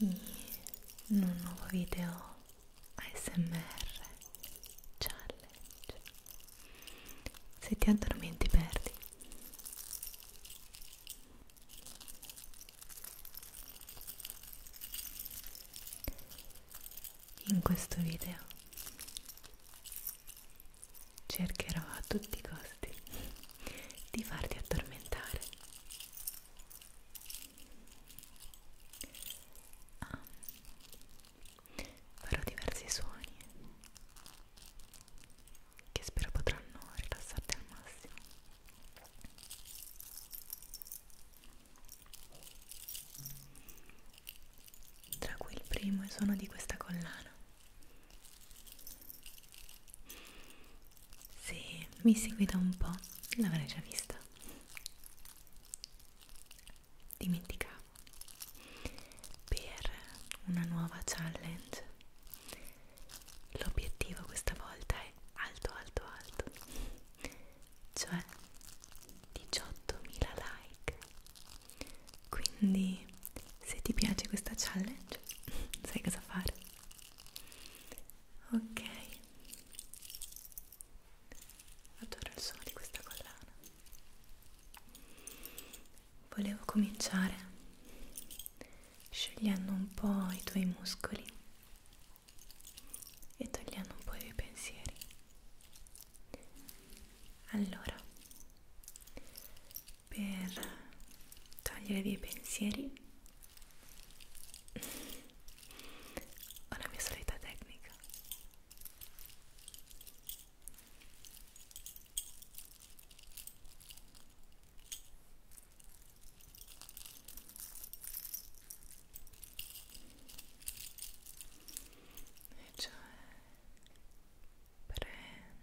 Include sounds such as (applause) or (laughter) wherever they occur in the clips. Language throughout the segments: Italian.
in un nuovo video ASMR challenge se ti addormenti perdi in questo video cercherò a tutti i costi di farti addormentare ah. farò diversi suoni che spero potranno rilassarti al massimo tra cui il primo è il suono di questa collana se mi segui da un po' l'avrei già vista. Dimenticavo. Per una nuova challenge l'obiettivo questa volta è alto, alto, alto. Cioè 18.000 like. Quindi se ti piace questa challenge (laughs) sai cosa fare ok adoro il suono di questa collana volevo cominciare sciogliendo un po' i tuoi muscoli e togliendo un po' i tuoi pensieri allora per togliere via i pensieri ho la mia solita tecnica e cioè prendo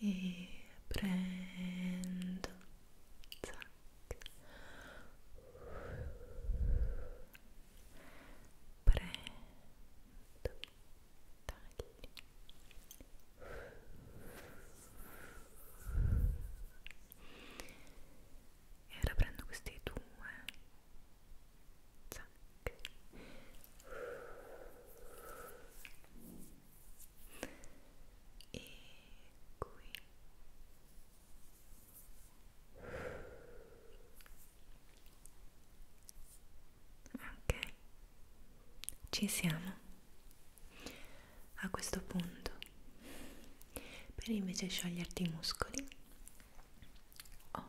e prendo zac. prendo tagli e ora prendo questi due zac e qui ok ci siamo a questo punto per invece scioglierti i muscoli ho oh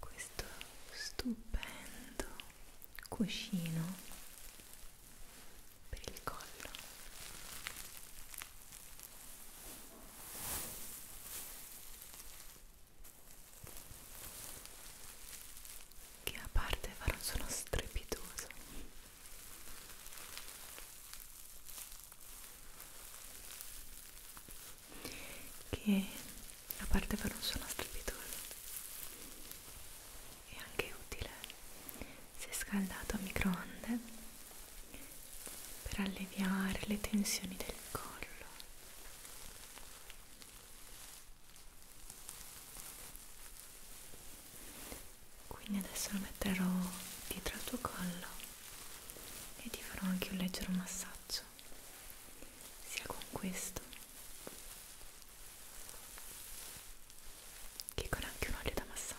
questo stupendo cuscino per il collo che a parte farà un suono strepitoso che a parte farà un suono strepitoso è anche utile se scaldato a microonde per alleviare le tensioni del collo. Quindi adesso lo metterò dietro al tuo collo e ti farò anche un leggero massaggio, sia con questo che con anche un olio da massaggio.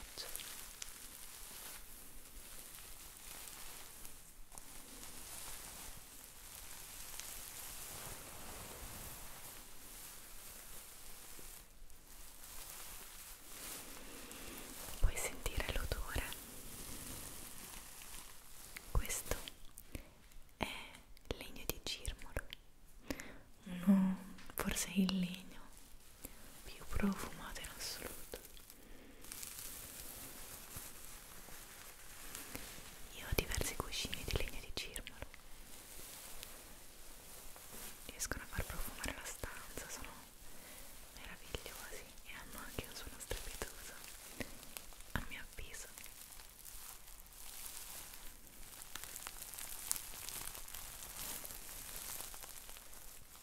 Puoi sentire l'odore. Questo è legno di girmolo, uno forse il legno più profumato in assoluto. Io ho diversi cuscini di legno di cirmolo. Riescono a far profumare la stanza, sono meravigliosi e hanno anche un suono strepitoso, a mio avviso.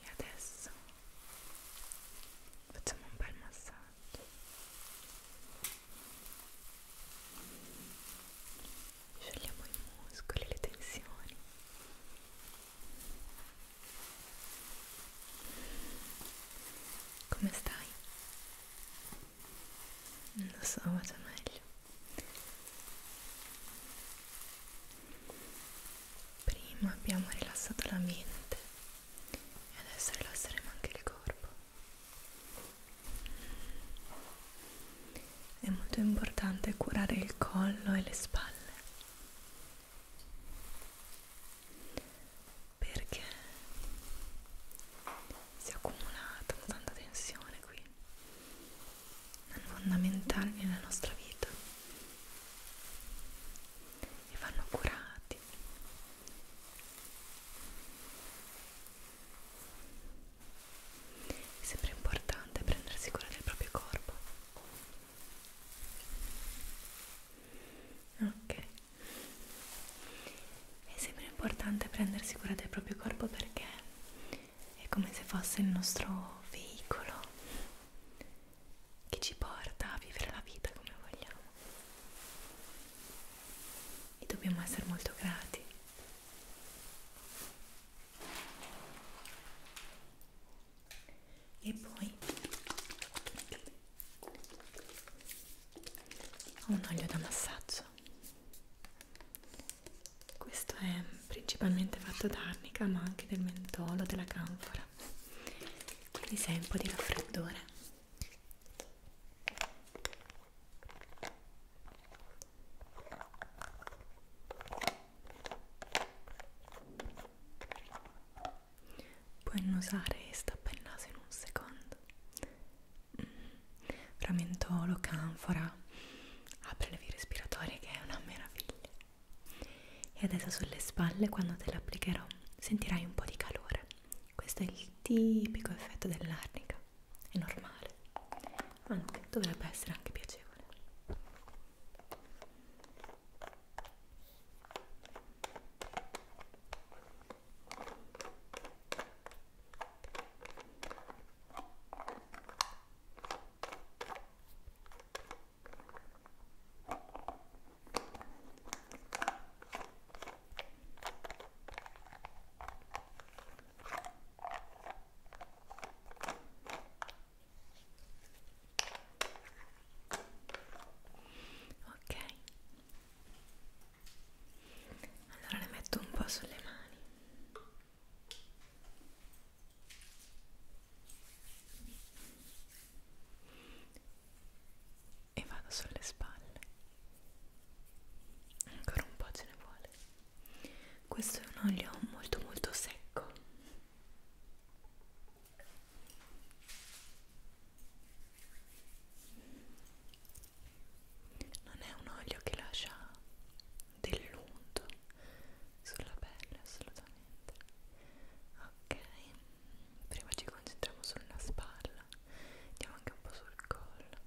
e adesso facciamo un bel massaggio sciogliamo i muscoli le tensioni come stai? non lo so faccio meglio prima abbiamo rilassato la mente e adesso rilasseremo anche il corpo è molto importante curare il collo e le spalle perché si è accumulata tanta tensione qui è fondamentale nella nostra vita e vanno curati è sempre importante prendersi cura del proprio corpo ok è sempre importante prendersi cura del proprio corpo perché è come se fosse il nostro veicolo che ci porta a vivere la vita come vogliamo e dobbiamo essere molto grati e poi ho un olio da massaggio questo è principalmente fatto d'arnica ma anche del mentolo, della canfora quindi sei un po' di raffreddore puoi annusare e stappare il naso in un secondo mm. framentolo, canfora apre le vie respiratorie che è una meraviglia e adesso sulle spalle quando te l'applicherò sentirai un po' di calore questo è il tipico effetto dell'arnica è normale anche dovrebbe essere anche piacevole Ok, allora le metto un po' sulle mani e vado sulle spalle ancora un po' ce ne vuole questo è un olio molto molto secco non è un olio che lascia dell'unto sulla pelle assolutamente niente ok prima ci concentriamo sulla spalla andiamo anche un po' sul collo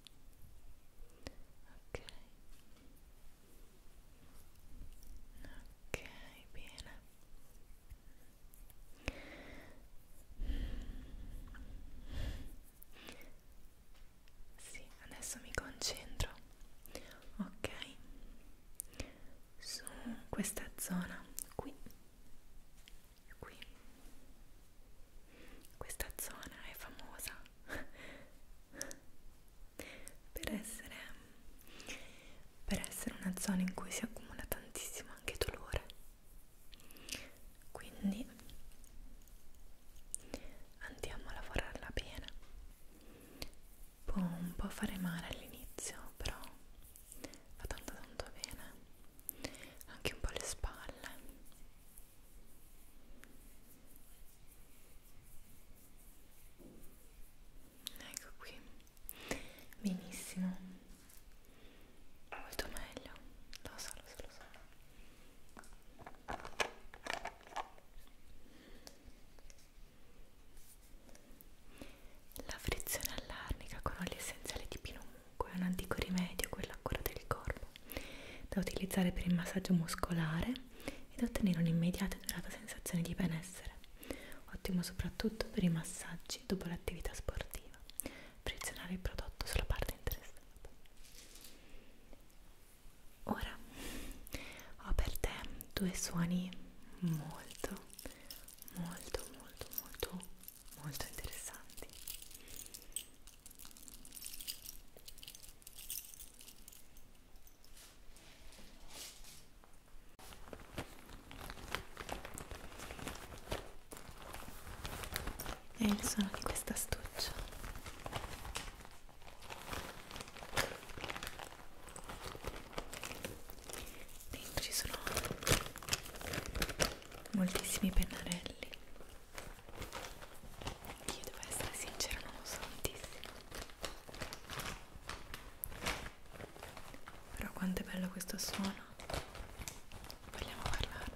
ok ok bene sì adesso mi concentro ok su questa zona qui qui questa zona è famosa (laughs) per essere per essere una zona in cui si accumula tantissimo anche dolore quindi andiamo a lavorarla bene può un po' fare male all'inizio, però fa tanto tanto bene, anche un po' le spalle. Ecco qui, benissimo, molto meglio, lo so, lo so, lo so. La frizione all'arnica con olio essenziale di pinomucco è un antico rimedio, quello a cura del corpo, da utilizzare per il massaggio muscolare e da ottenere un'immediata e durata sensazione di benessere. Ottimo soprattutto per i massaggi dopo l'attività sportiva. Frizionare il prodotto sulla parte interessata. Ora ho per te due suoni molto, molto, molto, molto, molto interessanti. È il suono di questa astuccia dentro ci sono moltissimi pennarelli che io devo essere sincera non lo so tantissimo però quanto è bello questo suono vogliamo parlarne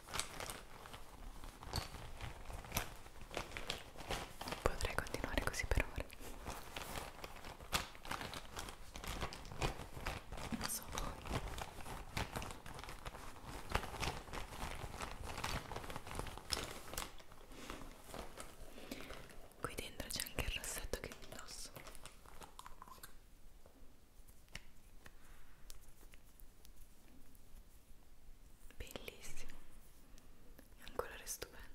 Potrei continuare così per ore. Non so voi. Qui dentro c'è anche il rossetto che indosso bellissimo è un colore stupendo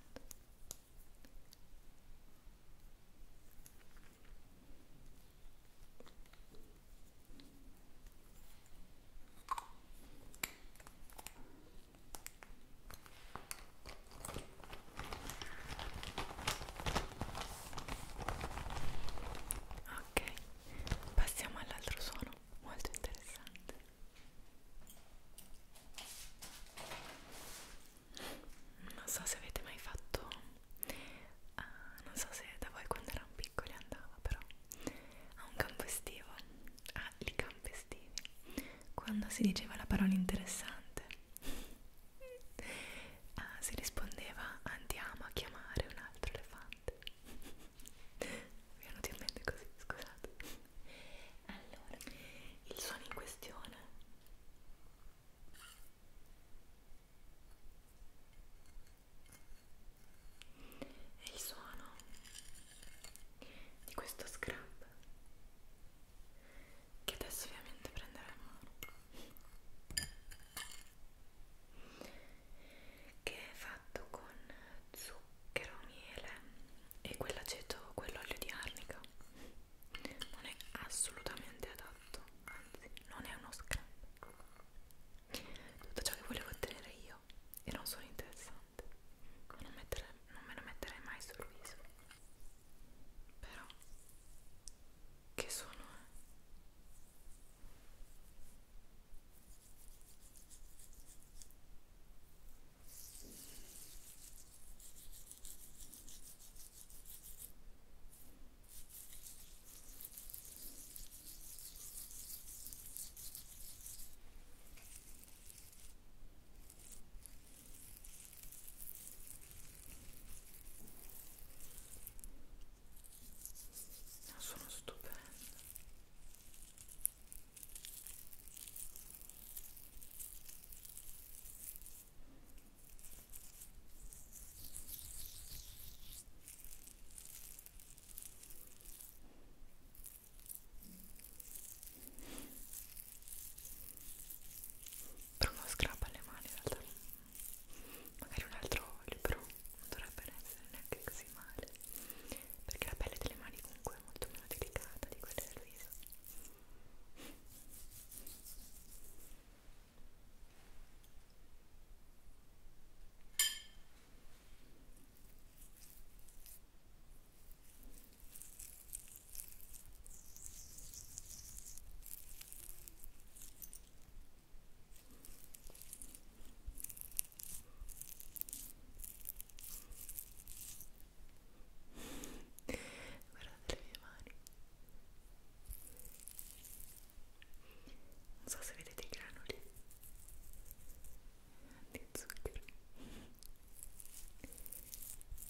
ok passiamo all'altro suono molto interessante non so se avete mai fatto uh, non so se da voi quando erano piccoli andava però a un campo estivo ah, i campi estivi quando si diceva la parola interessante ah, si rispondeva andiamo a chiamare un altro elefante mi venuti in mente così, scusate allora, il suono in questione è il suono di questo scrub che adesso ovviamente prenderemo che è fatto con zucchero, miele e quell'aceto, quell'olio di arnica non è assolutamente adatto, anzi non è uno scrap tutto ciò che volevo ottenere io e non sono interessante non, mettere, non me lo metterei mai sul viso però che suono è? Eh? No, sono stupendo però non scrappa le mani in realtà magari un altro olio però non dovrebbe essere neanche così male perché la pelle delle mani comunque è molto meno delicata di quella del viso Guardate le mie mani. Non so se vedete i granuli di zucchero.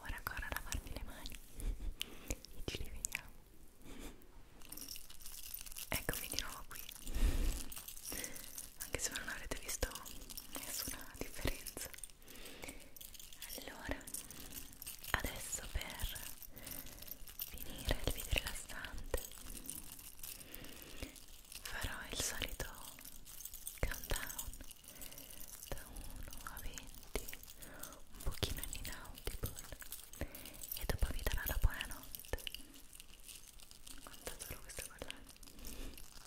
Ora ancora a lavarmi le mani e ci rivediamo. Eccomi di nuovo qui. Anche se non avrete visto nessuna differenza. Allora, adesso per finire il video rilassante farò il solito countdown da 1 a 20 un pochino inaudible e dopo vi darò la buonanotte quanto adoro questo collane Buonanotte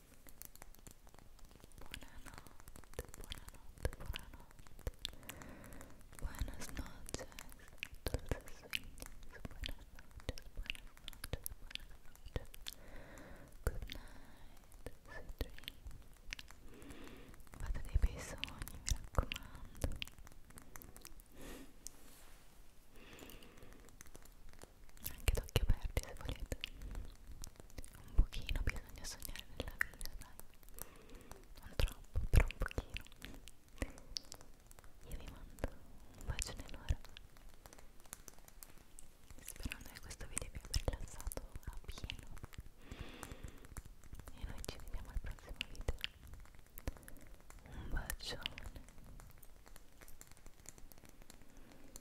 buonanotte, buonanotte, buonanotte. Buenas noches, dulces sueños. Buenas noches, Good night, sweet dreams. Fate dei bei mi raccomando. Anche d'occhi aperti se volete. un pochino bisogna sognare nella vita dai non troppo però un pochino io vi mando un bacio nell'ora sperando che questo video vi abbia rilassato a pieno e noi ci vediamo al prossimo video un bacione